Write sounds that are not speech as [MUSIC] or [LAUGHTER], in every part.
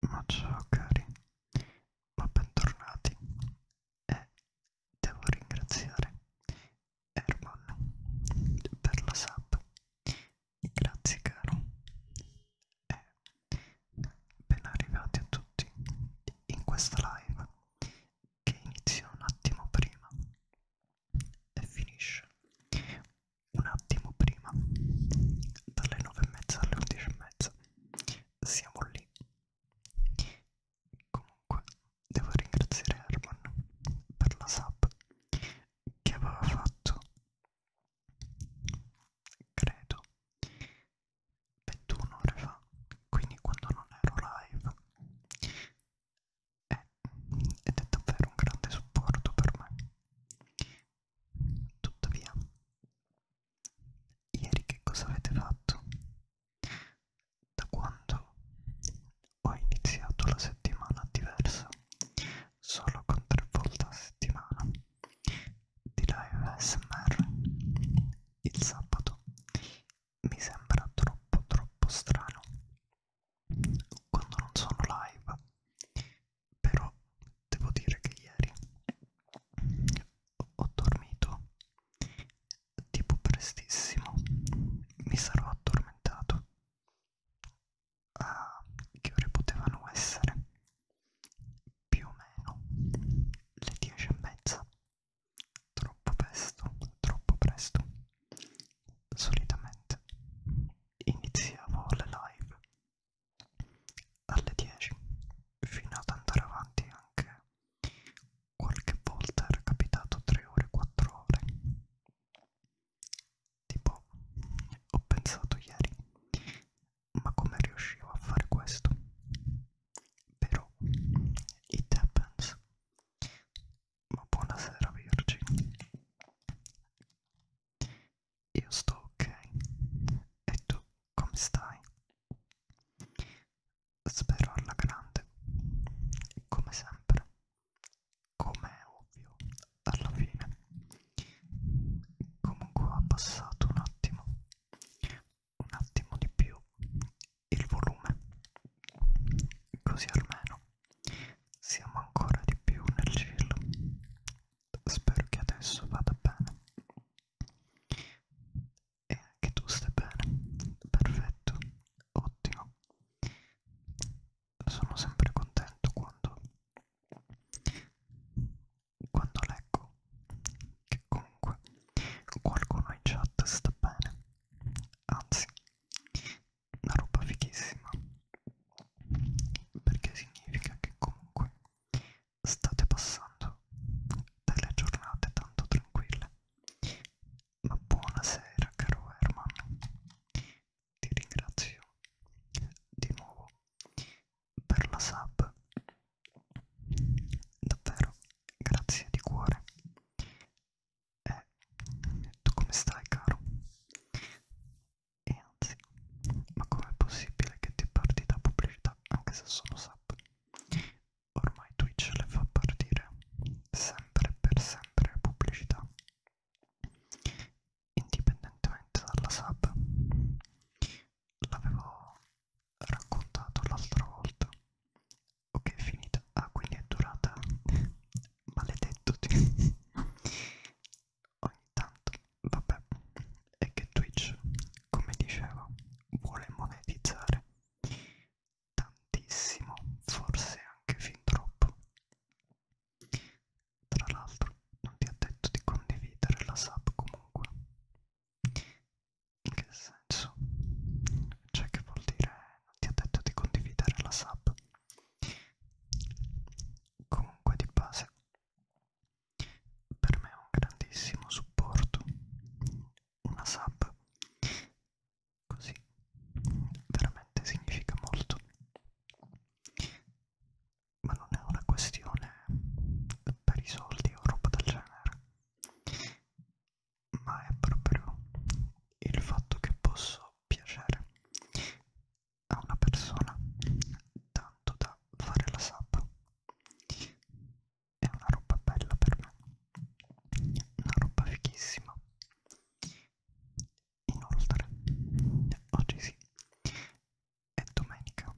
Ma ciao cari, ma bentornati e devo ringraziare Herman per la sub, grazie caro e ben arrivati a tutti in questa live che inizia un attimo prima e finisce un attimo prima dalle 9 e mezza alle 11 e mezza siamo lì comunque devo ringraziare Herman per la sub che aveva fatto credo 21 ore fa quindi quando non ero live eh, ed è davvero un grande supporto per me tuttavia Ieri che cosa avete fatto? Da quando ho iniziato la settimana diversa, solo con tre volte a settimana, di live SMR, il sabato mi sembra troppo troppo strano quando non sono live però devo dire che ieri ho dormito tipo prestissimo mi sarò addormentato a che ore potevano essere più o meno le 10 e mezza troppo presto troppo presto solitamente iniziavo le live alle 10 fino ad andare avanti anche qualche volta era capitato 3 ore 4 ore tipo ho pensato ieri ma come riuscivo a fare questo però it happens ma buonasera Virgin io sto ok. E tu come stai? Spero alla grande. Come sempre. Come è ovvio, alla fine. Comunque ha passato un attimo. Un attimo di più il volume. Così almeno siamo ancora di più nel cielo. Spero che adesso vada bene e anche tu stai bene perfetto ottimo sono sempre contento quando quando leggo che comunque qualcuno in chat sta bene anzi una roba fighissima perché significa che comunque state passando delle giornate tanto tranquille. Ma buonasera caro Herman, ti ringrazio di nuovo per la sub. Davvero, grazie di cuore. E tu come stai caro? E anzi, ma com'è possibile che ti parti da pubblicità anche se sono sub? Ormai Twitch le fa partire sempre per sempre le pubblicità, indipendentemente dalla sub. L'avevo raccontato l'altra volta. Ok, è finita. Ah, quindi è durata. [LAUGHS] Maledetto. [LAUGHS] Ogni tanto vabbè, è che Twitch, come dicevo, vuole monetizzare tantissimo, forse anche fin troppo. Tra l'altro, non ti ha detto di condividere la sub comunque. In che senso? Cioè, che vuol dire non ti ha detto di condividere la sub? Comunque, di base, per me è un grandissimo supporto, una sub, così veramente significa molto, ma non è una questione per i soldi o roba del genere, ma è proprio il fatto che posso piacere a una persona tanto da fare la sub è una roba bella per me una roba fighissima inoltre oggi sì è domenica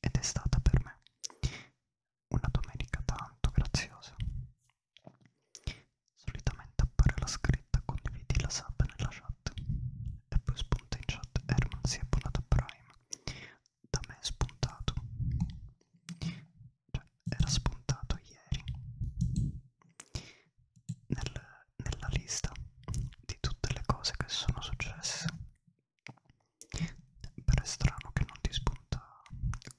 ed è stata per me una domenica tanto graziosa solitamente appare la scritta condividi la sub nella chat e poi spunta in chat Herman si è abbonato a Prime da me spuntato cioè era spuntato ieri nel, nella lista di tutte le cose che sono successe però è strano che non ti spunta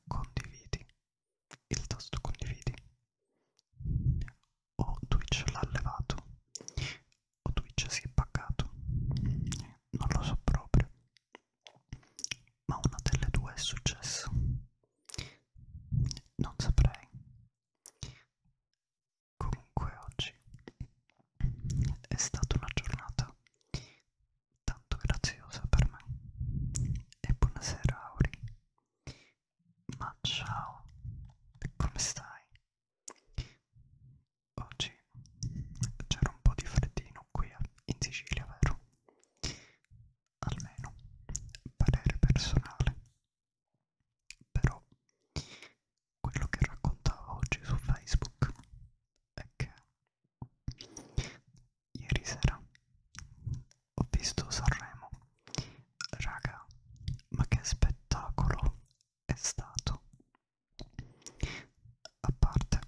condividi il tasto condividi o Twitch l'ha levato o Twitch si è pagato, non lo so proprio, ma una delle due è successa, non saprei. Comunque oggi è stata una giornata tanto graziosa per me e buonasera Auri, ma ciao, come stai? Oggi c'era un po' di freddino qui in Sicilia, vero? Almeno, parere personale. Però, quello che raccontavo oggi su Facebook è che ieri sera ho visto Sanremo. Raga, ma che spettacolo è stato! A parte,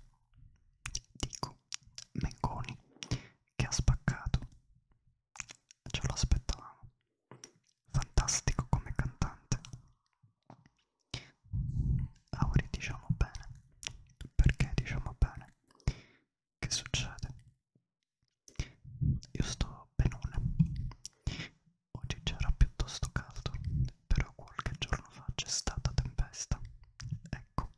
dico, Mengoni che ha spaccato. Ce lo aspettavamo. Fantastico come cantante. Auri diciamo bene. Perché diciamo bene? Che succede? Io sto benone. Oggi c'era piuttosto caldo, però qualche giorno fa c'è stata tempesta. Ecco.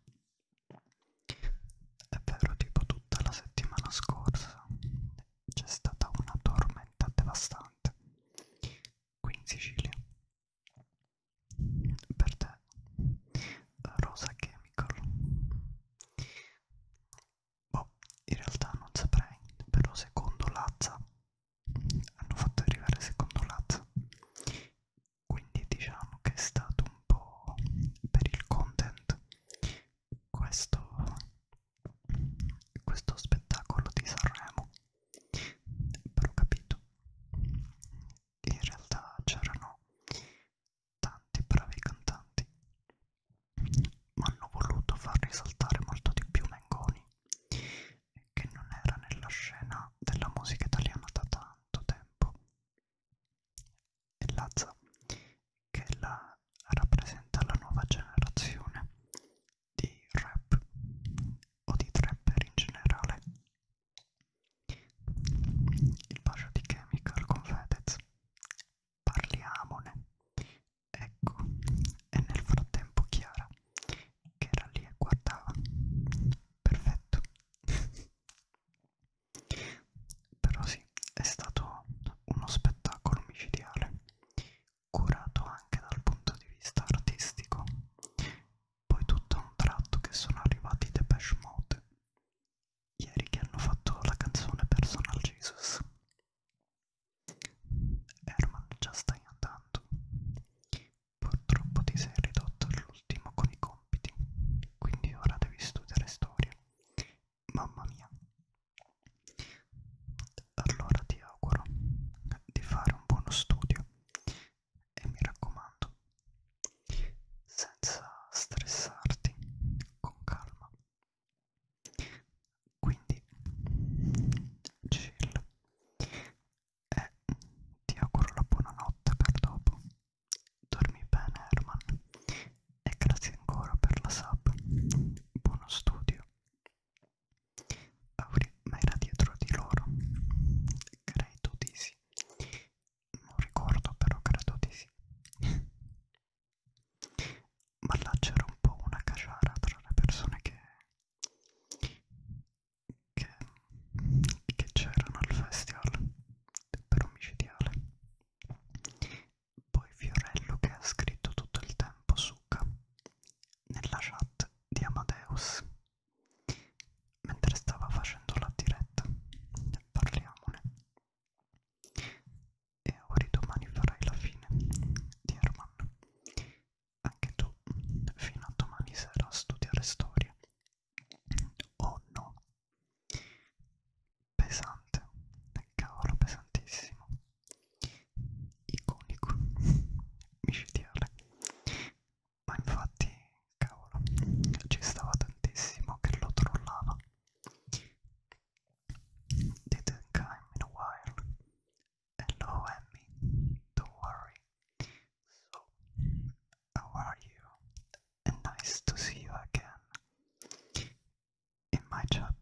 È vero, tipo tutta la settimana scorsa c'è stata una tormenta devastante qui in Sicilia. Per te, Rosa Chemical. Boh, in realtà non saprei, però secondo Lazza hanno fatto arrivare secondo Lazio quindi diciamo che è stato un po' per il content questo, questo spettacolo di Sanremo però ho capito in realtà c'erano tanti bravi cantanti ma hanno voluto far risaltare molto di più Mengoni che non era nella scena della musica italiana da tanto tempo. E Lazza, che la rappresenta la nuova generazione di rap o di trapper in generale. Il bacio di Chemical con Fedez. Parliamone. Ecco, e nel frattempo Chiara che era lì e guardava perfetto però sì è stato uno spettacolo micidiale curato anche dal punto di vista artistico poi tutto a un tratto che sono arrivati i Depeche Mode ieri che hanno fatto la canzone Personal Jesus Herman già stai andando Purtroppo ti sei ridotto all'ultimo con i compiti, quindi ora devi studiare storia. Mamma mia. Allora ti auguro di fare un buono studio e mi raccomando, senza stressarti, con calma. Quindi, chill e ti auguro la buonanotte per dopo. Dormi bene Herman e grazie ancora per la sub. Buono studio. Auri, ma era dietro di loro? Credo di sì. Non ricordo però credo di sì. Ma là c'era un po' una caciara tra le persone che che, che c'erano al festival per omicidiale. Poi Fiorello che ha scritto tutto il tempo Succa nella chat di Amadeus mentre stava facendo la diretta. Parliamone. E ora domani farai la fine di Herman anche tu fino a domani sera a studiare storia o oh no pesante cavolo pesantissimo iconico micidiale ma infatti cavolo ci stava tantissimo che lo trollava didn't come in a while allowing me not worry. So, how are you? And nice to see you again in my chat.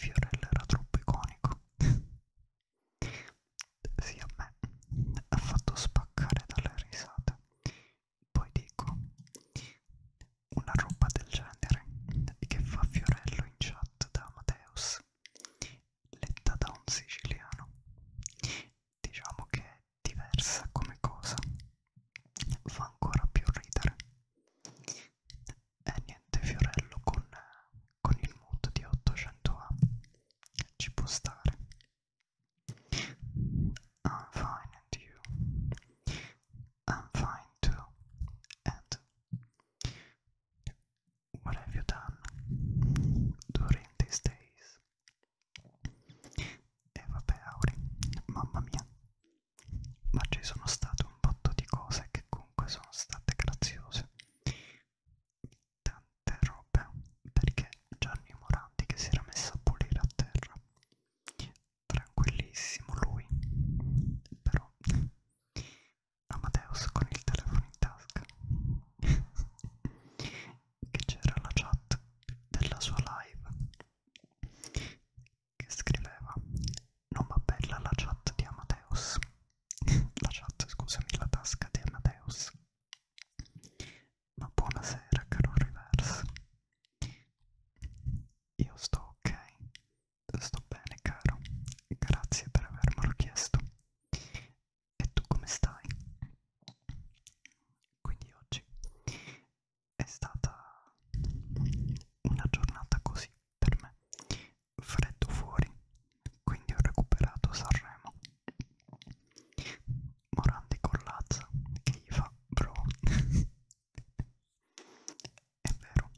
Fiorella era troppo iconico. [LAUGHS] Sì, me ha fatto spaccare dalle risate. Poi dico una roba del genere che fa Fiorello in chat da Amadeus letta da un siciliano. Diciamo che è diversa come cosa, fa ancora più ridere. E eh, niente, Fiorello con, con il mood di 800A ci può stare. I'm fine and you. I'm fine too. And What have you done during these days? E vabbè Auri, mamma mia, ma ci sono state un botto di cose che comunque sono state graziose. Tante robe, perché Gianni Morandi che si era messo a pulire a terra, tranquillissimo lui, però Amadeus con il telefono in tasca [LAUGHS] che c'era la chat della sua live che scriveva non va bella la chat di Amadeus [LAUGHS] la chat scusami la tasca di Amadeus ma buonasera caro Reverse io sto ok sto bene caro grazie per avermelo chiesto e tu come stai? Quindi oggi è stata una giornata così per me, freddo fuori, quindi ho recuperato Sanremo. Morandi con Lazza che gli fa bro. [LAUGHS] è vero,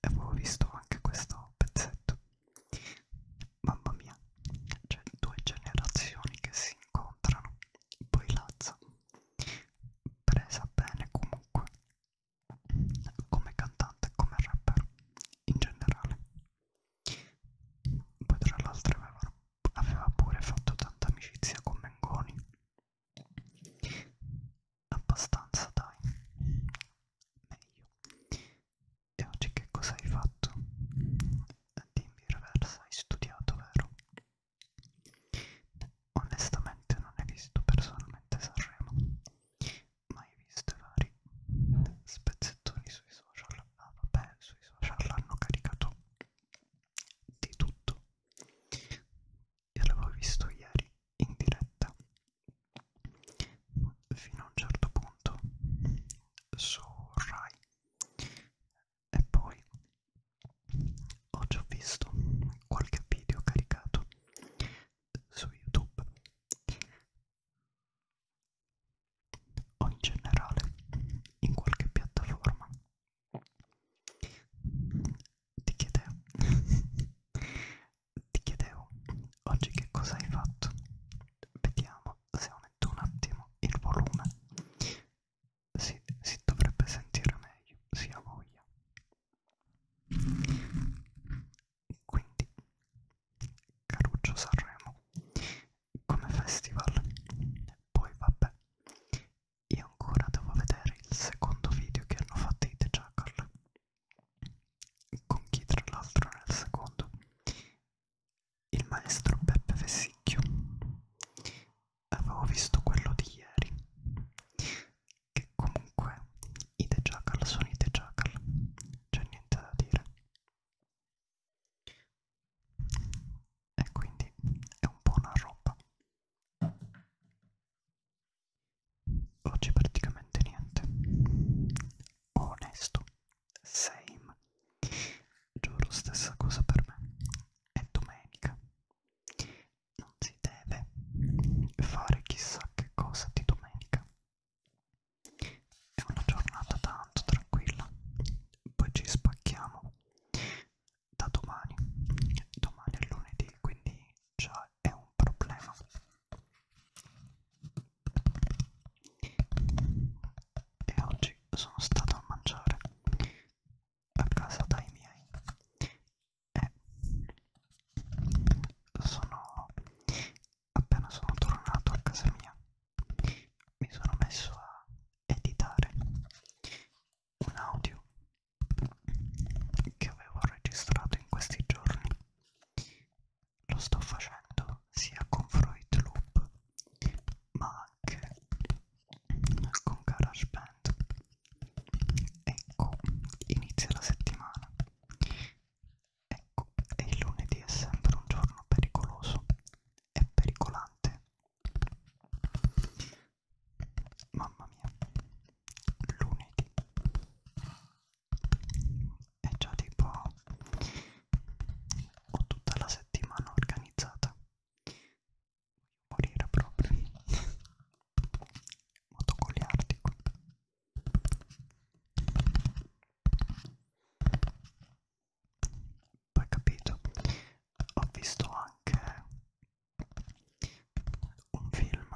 avevo visto anche questo pezzetto Mamma mia, c'è due generazioni che si incontrano, poi Lazza, presa bene comunque, come cantante e come rapper in generale. Poi tra l'altro aveva, aveva pure fatto tanta amicizia con Mengoni, abbastanza dai, meglio piace, che cosa hai fatto? Dimmi Reversa, hai studiato, vero? Onestamente non hai visto personalmente Sanremo, ma hai visto vari spezzettoni sui social. Ah vabbè, sui social hanno caricato di tutto. Io l'avevo visto ieri in diretta fino a un certo punto su Rai e poi ho già visto qualche video caricato su YouTube o in generale in qualche piattaforma ti chiedevo [LAUGHS] ti chiedevo oggi che cosa hai fatto vediamo se aumento un attimo il volume si, si dovrebbe sentire meglio, si ha voglia. Quindi, Caruccio Sanremo come festival. Poi vabbè, io ancora devo vedere il secondo video che hanno fatto i The Jackal, con chi tra l'altro nel secondo il maestro Beppe Vessicchio. Avevo visto quello di ieri, che comunque i The Jackal sono i The Jackal, c'è niente da dire. E quindi è un po' una roba. Oggi praticamente niente. Onesto. Same. Giuro, stessa cosa per me. È domenica. Non si deve fare chissà che cosa di domenica. È una giornata tanto tranquilla. Poi ci spacchiamo da domani. Domani è lunedì, quindi già è un problema e oggi sono stato a mangiare a casa dai miei e sono appena sono tornato a casa mia mi sono messo a editare un audio che avevo registrato in questi giorni lo sto facendo sia con Freud Loop ma anche con GarageBand ecco inizia la settimana ecco e il lunedì è sempre un giorno pericoloso e pericolante mamma mia lunedì è già tipo ho tutta la settimana organizzata morire proprio [LAUGHS] vado con gli artico poi capito ho visto anche un film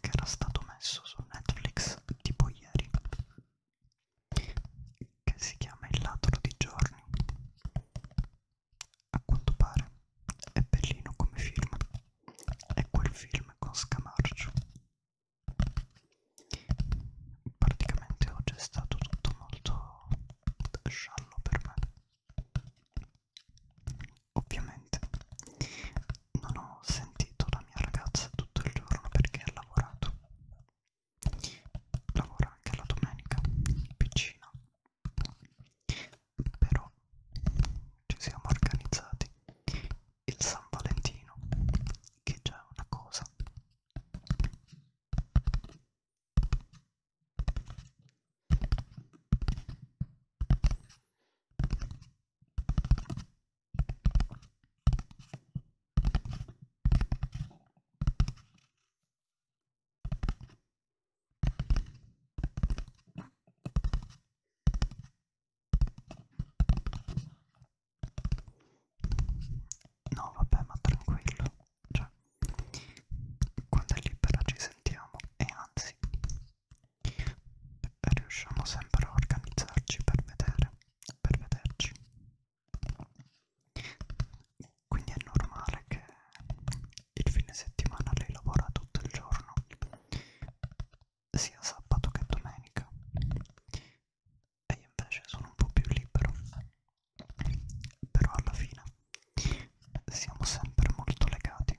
che era stato messo su Netflix tipo ieri che si chiama Il ladro di giorni. A quanto pare è bellino come film, è quel film con Scamarcio. Praticamente oggi è stato tutto molto sciallo per me. Ovviamente non ho sentito la mia ragazza tutto il giorno perché ha lavorato lavora anche la domenica in piscina però ci siamo organizzati il San Valentino che è già una cosa No, vabbè, ma tranquillo, cioè, quando è libera ci sentiamo e anzi, riusciamo sempre a organizzarci per vedere, per vederci. Quindi è normale che il fine settimana lei lavora tutto il giorno, sia sabato che domenica, e io invece sono un po' più libero. Però alla fine siamo sempre molto legati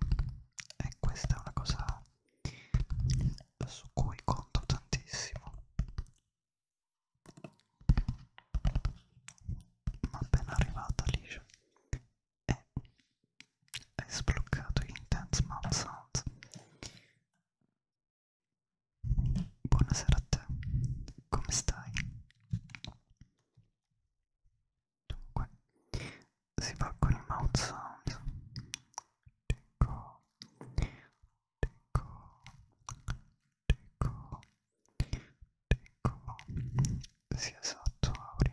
e questa è una cosa su cui conto tantissimo ma appena arrivata liscia e eh, hai sbloccato Intense Mouth Sounds buonasera a te come stai? dunque si va con i mouth sound dico Deco, Deco, sì esatto Auri,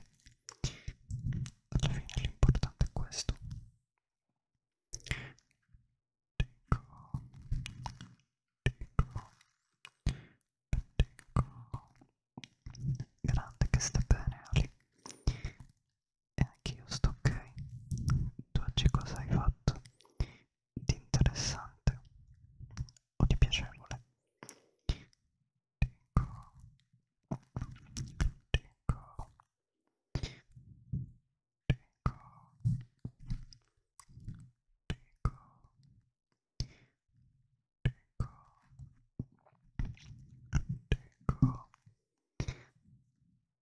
alla fine l'importante è questo. Deco, Deco, Deco, grande che sta bene Ali. E anch'io sto ok. Tu oggi cosa hai fatto? di interessante o di piacevole. Dico, dico, dico, dico, dico, dico,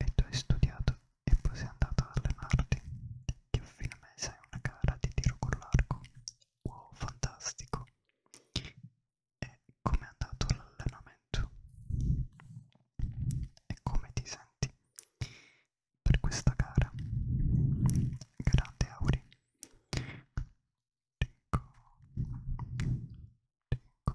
e tu hai studiato e poi sei andato ad allenarti. Che a fine mese hai una gara di tiro con l'arco. Wow, fantastico! E come è andato l'allenamento? E come ti senti per questa gara? Grande Auri. Dico, dico,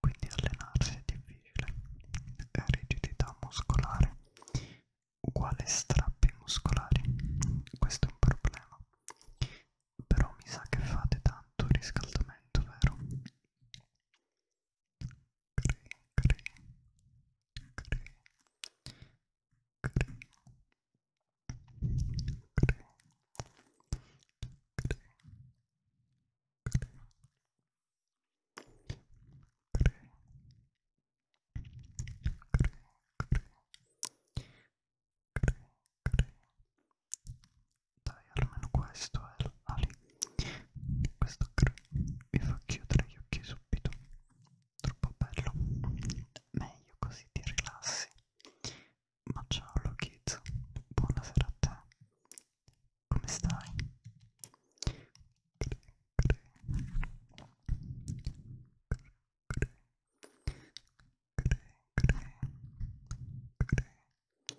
Quindi allenarsi è difficile. Rigidità muscolare uguale strappi muscolari. Questo è un problema. Però mi sa che fate tanto riscaldamento, vero? Cri, cri, cri. Dai, almeno questo è l'ali. Ah, questo vi fa chiudere gli occhi subito troppo bello, meglio così ti rilassi. Ma ciao Lokit, buonasera a te, come stai? Cre, cre. Cre, cre. Cre, cre. Cre, cre. Cre.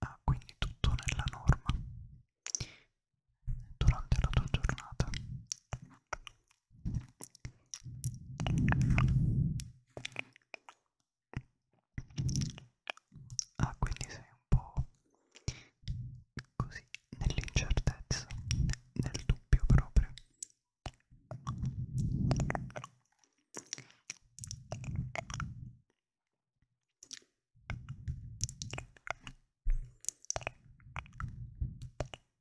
Ah, quindi tutto nella norma durante la tua giornata. Ah, quindi sei un po' così nell'incertezza, nel dubbio proprio.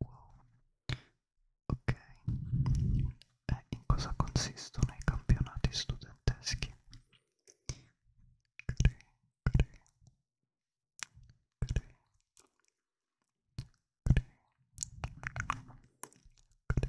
Wow. Ok, e eh, in cosa consistono i campionati studenteschi? Cre, cre, cre, cre, cre, cre, cre, cre,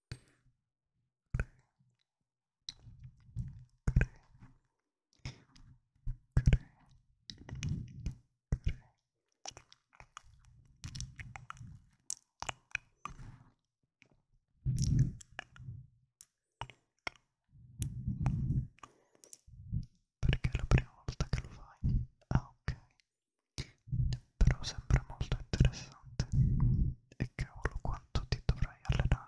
Perché è la prima volta che lo fai? Ah ok, però sembra molto interessante. E cavolo quanto ti dovrai allenare.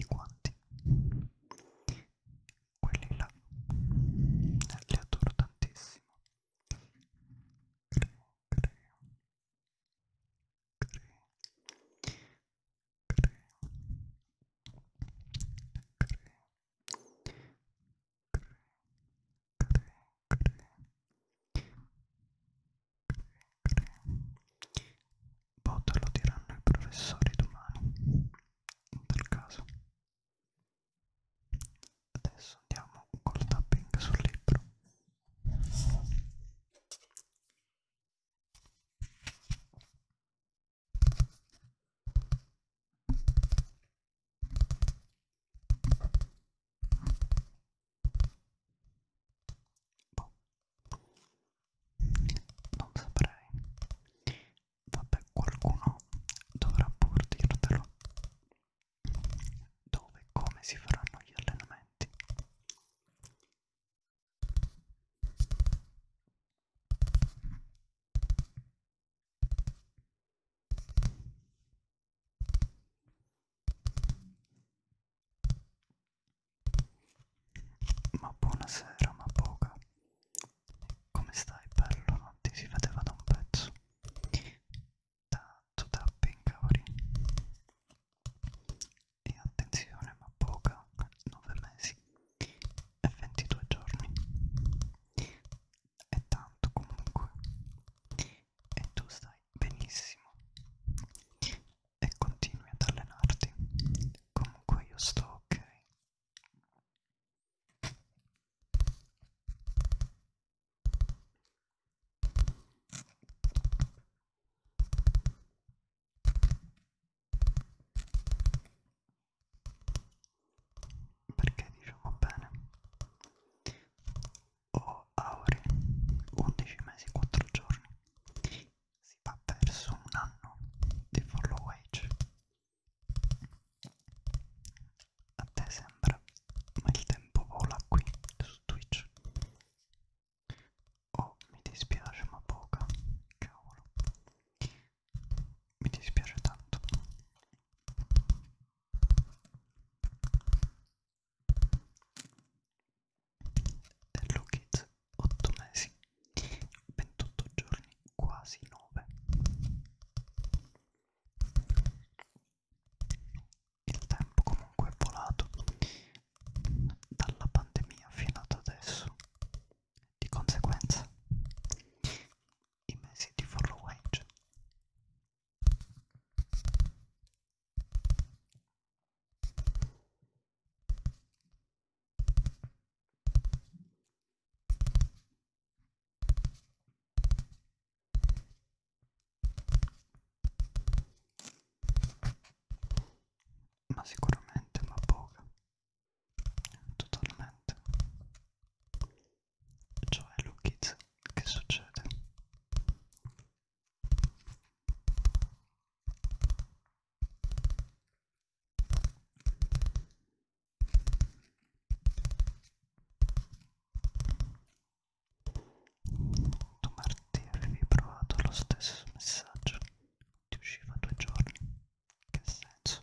i guanti quelli là li adoro tantissimo cre, cre, cre, cre, cre, cre, cre, cre, cre, Botta lo diranno i professori domani, in tal caso. Adesso andiamo col tapping sul libro. Boh, non saprei vabbè qualcuno dovrà pur dirtelo dove e come si faranno gli allenamenti ma buonasera, ma poca. Come stai, bello? Non ti si vedeva da un pezzo. Tanto da pincauri. E attenzione, ma poca, 9 mesi e 22 giorni. E tanto comunque. E tu stai benissimo e continui ad allenarti. Comunque io sto ok. Perché diciamo bene? Ho oh, aure 11 mesi, 4 giorni si va perso un anno di follow wage a te sembra ma il tempo vola qui su Twitch oh mi dispiace ma poca cavolo mi dispiace tanto Hello Kids 8 mesi, 28 giorni, quasi 9. Il tempo comunque è volato dalla pandemia fino ad adesso. Di conseguenza, i mesi di follow wage ma sicuramente ma poca totalmente cioè lo kids che succede tu Marti avevi provato lo stesso messaggio, ti usciva due giorni, che senso?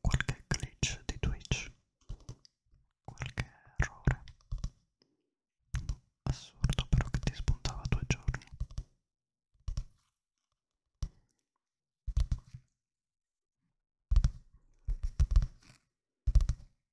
qualche glitch di Twitch, qualche errore assurdo però che ti spuntava due giorni.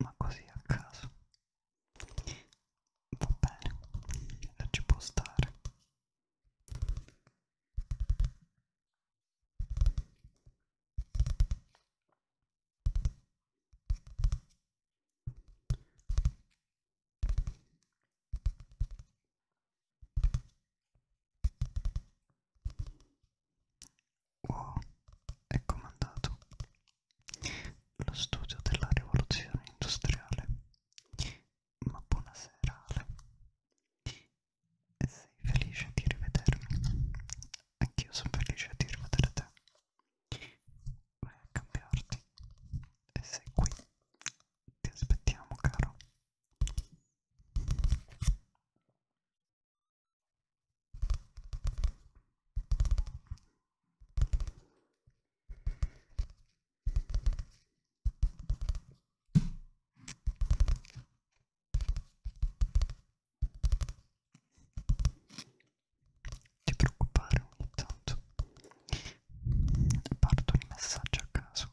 ma così a caso va bene ci può stare Wow, è comandato lo studio della rivoluzione industriale. Ma buonasera Ale. E sei felice di rivedermi? Anch'io sono felice di rivedere te. Vai a cambiarti. E sei qui. Ti aspettiamo, caro ti preoccupare ogni tanto partono i messaggi a caso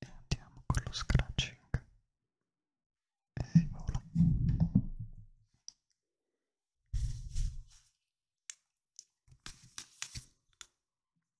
e andiamo con lo scratching e si vola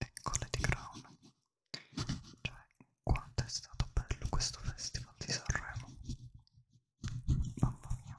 e Colletti Crown cioè quanto è stato bello questo festival di Sanremo mamma mia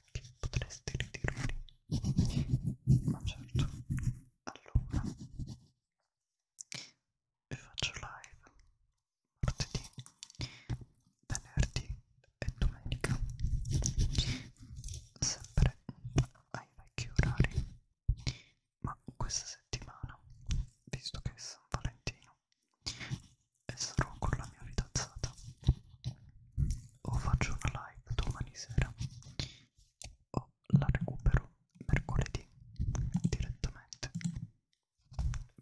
perché potresti ritirarli ma certo allora vi faccio live martedì venerdì e domenica sempre ai vecchi orari ma questa settimana visto che è San Valentino e sarò con la mia fidanzata o faccio una live domani sera o la recupero mercoledì direttamente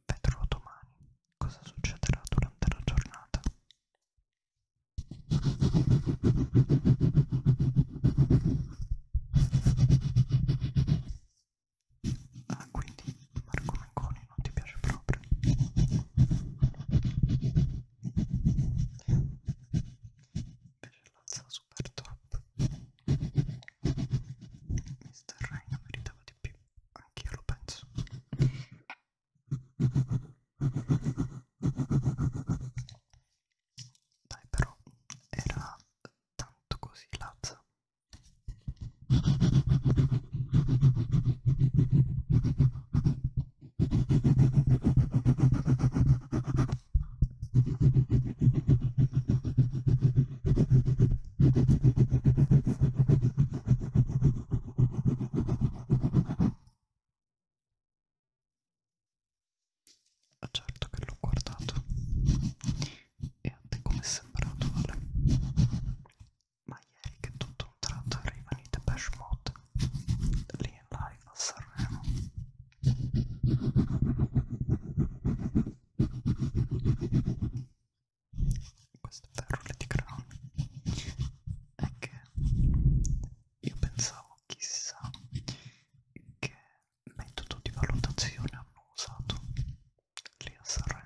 vedrò domani cosa succederà durante la giornata Ah, quindi Marco Mencol Leone non ti piace proprio invece l'alza super top Mr. Rain meritava di più anch'io lo penso dai però era tanto così lazza ma ah, certo che l'ho guardato. E a te come è sembrato, Vale? ma ieri che tutto un tratto arrivano i Depeche Mode lì in live a Sanremo queste perle di grano è che io pensavo chissà che metodo di valutazione hanno usato lì a Sanremo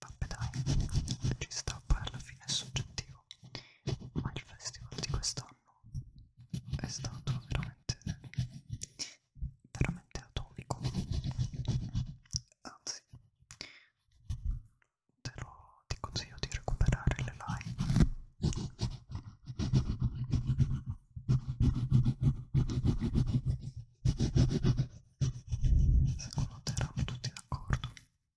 Vabbè dai, ci sta poi alla fine è soggettivo, ma il festival di quest'anno anno è stato veramente veramente atomico anzi te lo ti consiglio di recuperare le live secondo te erano tutti d'accordo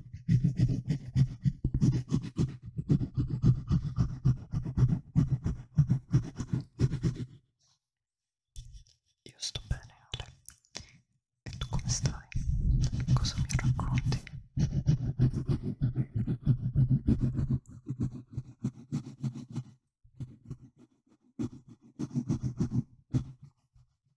Io sto bene, Ale. E tu come stai? Cosa mi racconti? E dunque,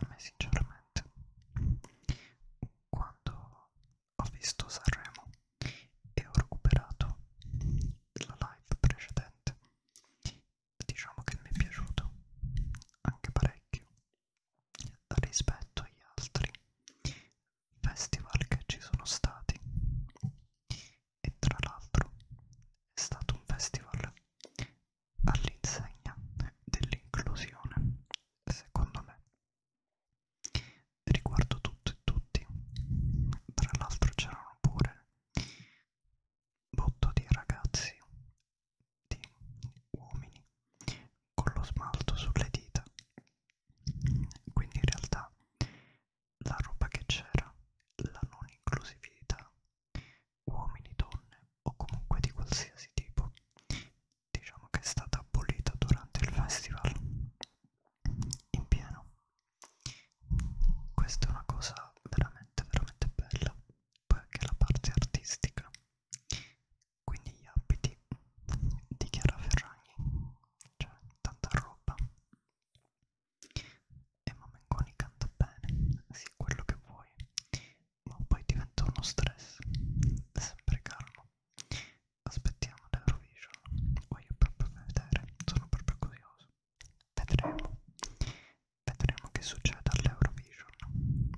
a me sinceramente, quando ho visto Sanremo e ho recuperato la live precedente, diciamo che mi è piaciuto anche parecchio rispetto agli altri festival che ci sono stati e tra l'altro è stato un festival all'insegna dell'inclusione secondo me riguardo tutto e tutti tra l'altro c'erano pure botto di ragazzi uomini con lo smalto sulle dita quindi in realtà la roba che c'era la non inclusività uomini donne o comunque di qualsiasi tipo diciamo che è stata abolita durante il festival in pieno questa è una cosa veramente veramente bella poi anche la parte artistica quindi gli abiti di Chiara Ferragni cioè tanta roba e Mamenconi canta bene sì quello che vuoi ma poi diventa uno stress sempre calmo aspettiamo l'Eurovision voglio proprio vedere sono proprio curioso vedremo vedremo che succede all'Eurovision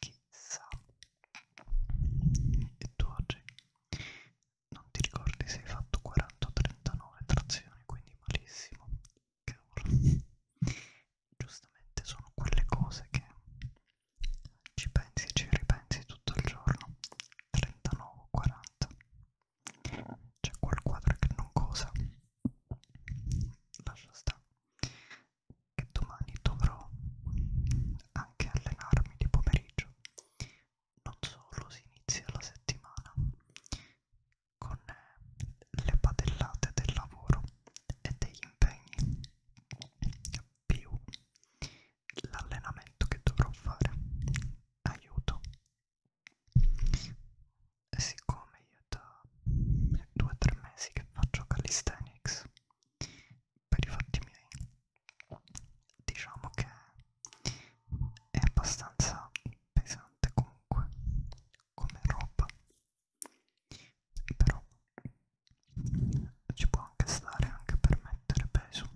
chissà e tu oggi non ti ricordi se hai fatto 40 o 39 trazioni, quindi malissimo. Cavolo. Giustamente sono quelle cose che ci pensi e ci ripensi tutto il giorno. 39 o 40. C'è quel quadro che non cosa. Lascia sta che domani dovrò anche allenarmi di pomeriggio. Non solo si inizia la settimana con eh, le padellate del lavoro e degli impegni, più l'allenamento che dovrò fare. Aiuto. E siccome io da due o tre mesi che faccio calisthenics per i fatti miei diciamo che è abbastanza pesante comunque come roba però ci può anche stare anche per mettere peso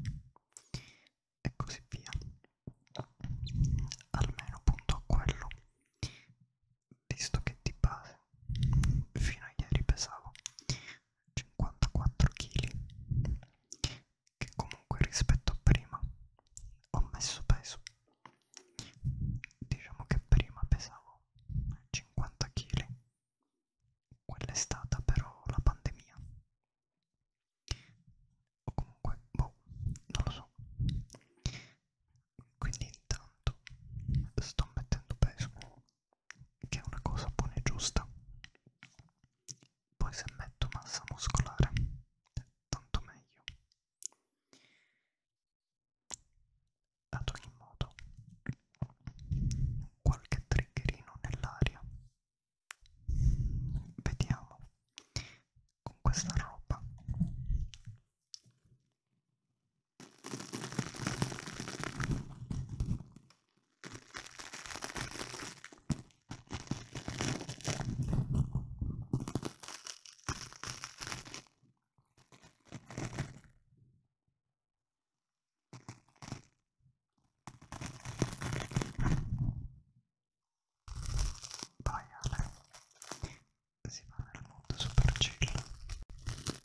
e così via almeno punto a quello visto che di base fino a ieri pesavo 54 kg che comunque rispetto a prima ho messo peso diciamo che prima pesavo 50 kg quella è stata però la pandemia o comunque boh non lo so quindi intanto sto mettendo peso che è una cosa buona e giusta. Poi se metto massa muscolare, tanto meglio. Ad ogni modo, qualche triggerino nell'aria. Vediamo con questa roba. Vai Ale, si va nel mondo super chill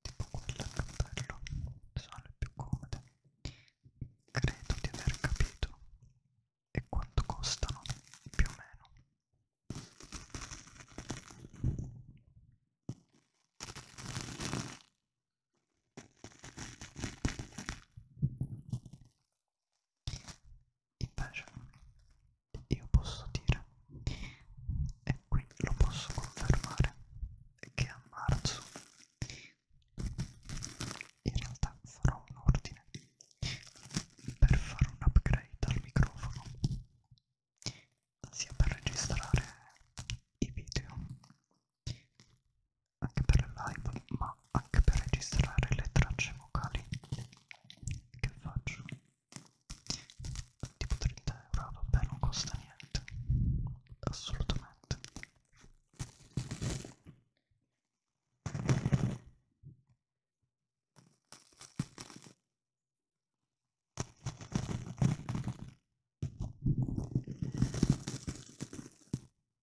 tipo quelle al cappello sono le più comode credo di aver capito e quanto costano più o meno Invece io posso dire, e qui lo posso confermare, che a marzo in realtà farò un ordine per fare un upgrade al microfono, sia per registrare i video anche per live ma anche per registrare le tracce vocali che faccio tipo 30 euro vabbè non costa niente assolutamente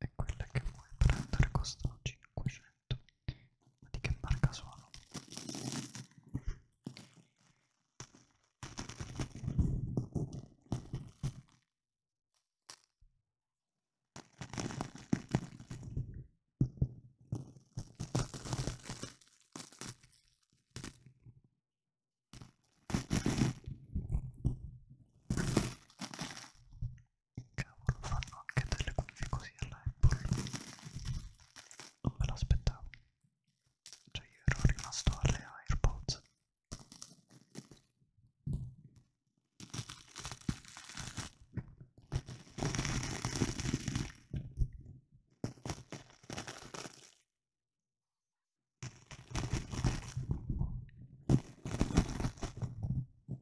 e quelle che vuoi prendere costano 500 ma di che marca sono? Cavolo, fanno anche delle cuffie così alla Apple. Non me l'aspettavo. Cioè io ero rimasto alle AirPods.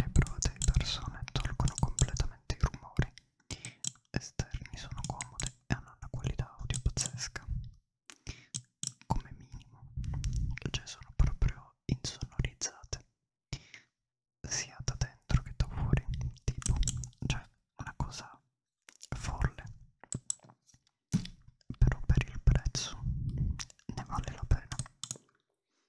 Le prode di persone tolgono completamente i rumori esterni, sono comode e hanno una qualità audio pazzesca. Come minimo, cioè sono proprio insonorizzate sia da dentro che da fuori, tipo, cioè una cosa folle, però per il prezzo ne vale la pena.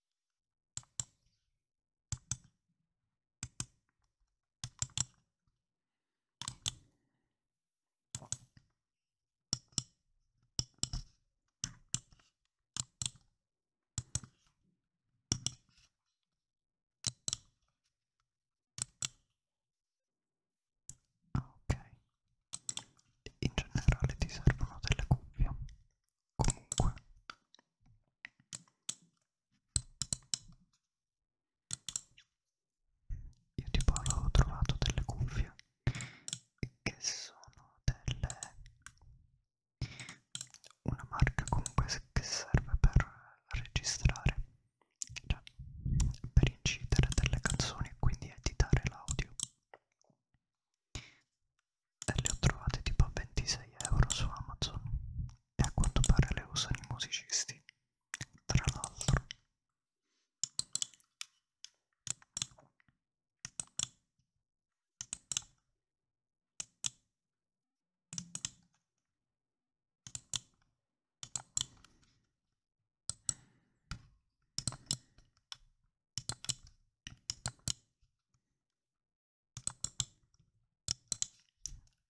Ok, in generale ti servono delle cuffie comunque io tipo avevo trovato delle cuffie che sono delle una marca comunque che serve per registrare cioè per incidere delle canzoni e quindi editare l'audio e le ho trovate tipo a 26 euro su Amazon e a quanto pare le usano i musicisti tra l'altro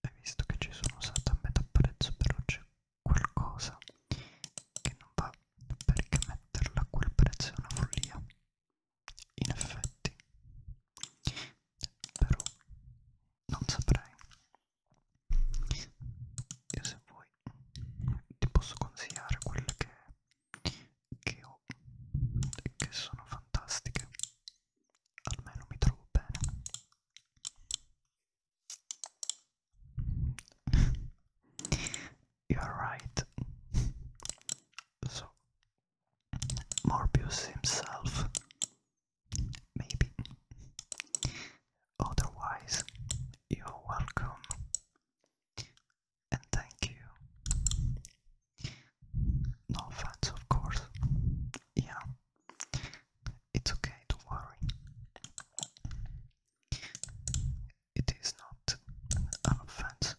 e visto che ci sono usato a metà prezzo però c'è qualcosa che non va perché metterla a quel prezzo è una follia in effetti però non saprei io se vuoi ti posso consigliare quelle che che [LAUGHS] You're right. So, Morbius himself, maybe. Otherwise, you're welcome and thank you. No offense, of course. Yeah, it's okay, don't worry. It is not an offense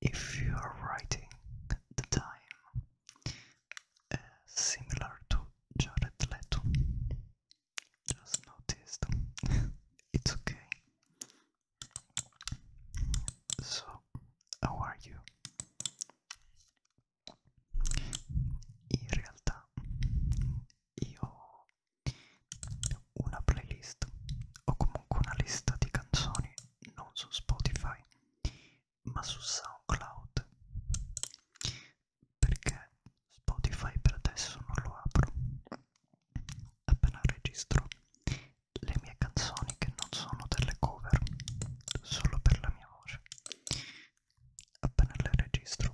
if you are writing the time uh, similar to Jared Leto. Just noticed. [LAUGHS] it's okay. So, how are you? In realtà io ho una playlist o comunque una lista di canzoni non su Spotify ma su SoundCloud perché Spotify per adesso non lo apro appena registro le mie canzoni che non sono delle cover solo per la mia voce appena le registro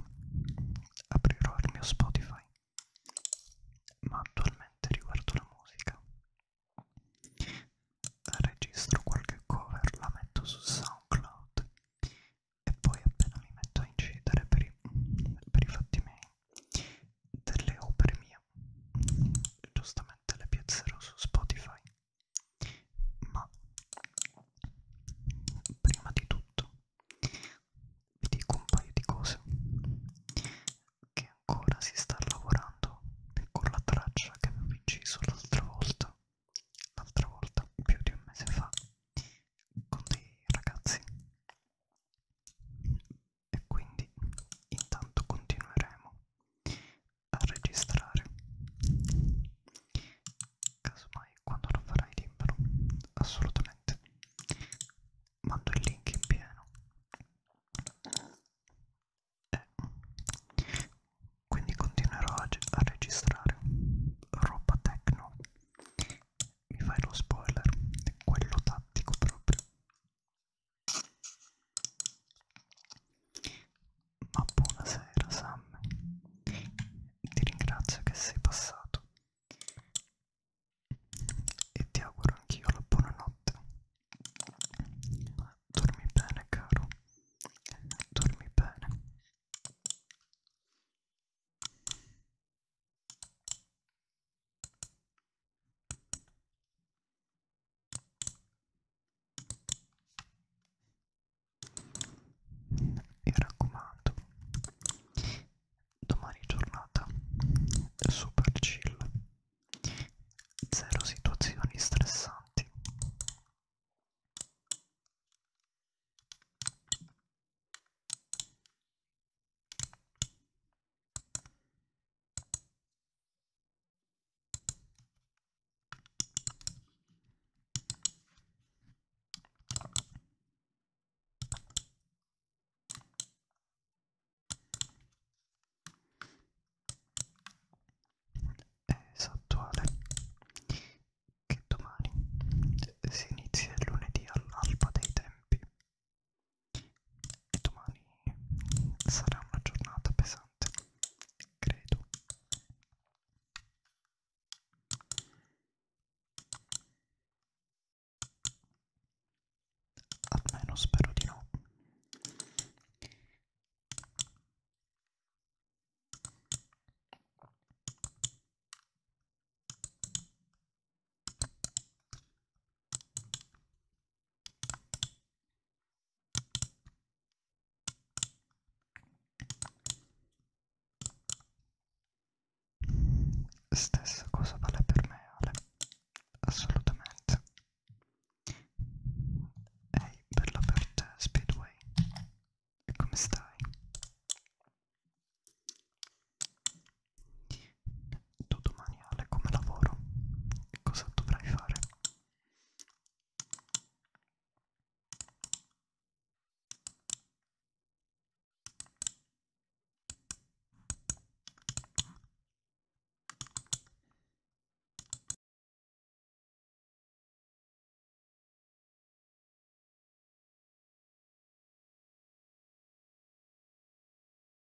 aprirò il mio Spotify ma attualmente riguardo la musica registro qualche cover la metto su SoundCloud e poi appena mi metto a incidere per i, per i fatti miei delle opere mie giustamente le piazzerò su Spotify ma prima di tutto vi dico un paio di cose che ancora si sta lavorando con la traccia che avevo inciso l'altra volta l'altra volta più di un mese fa con dei ragazzi e quindi intanto continueremo a registrare casomai quando lo farai libero assolutamente mando il link in pieno e quindi continuerò a, a registrare roba techno mi fai lo spoiler quello tattico proprio ma buonasera Sammy, ti ringrazio che sei passato e ti auguro anch'io la buonanotte. Dormi bene caro, dormi bene e raccomando domani giornata super chill zero situazioni stressanti Esatto Ale, che domani si inizia il lunedì all'alba dei tempi e domani sarà una giornata pesante, credo. Almeno spero di no. Stessa cosa vale per me, Ale, assolutamente. Ehi, bella per te, Speedway. E come stai? Tu domani Ale come lavoro? Cosa dovrai fare?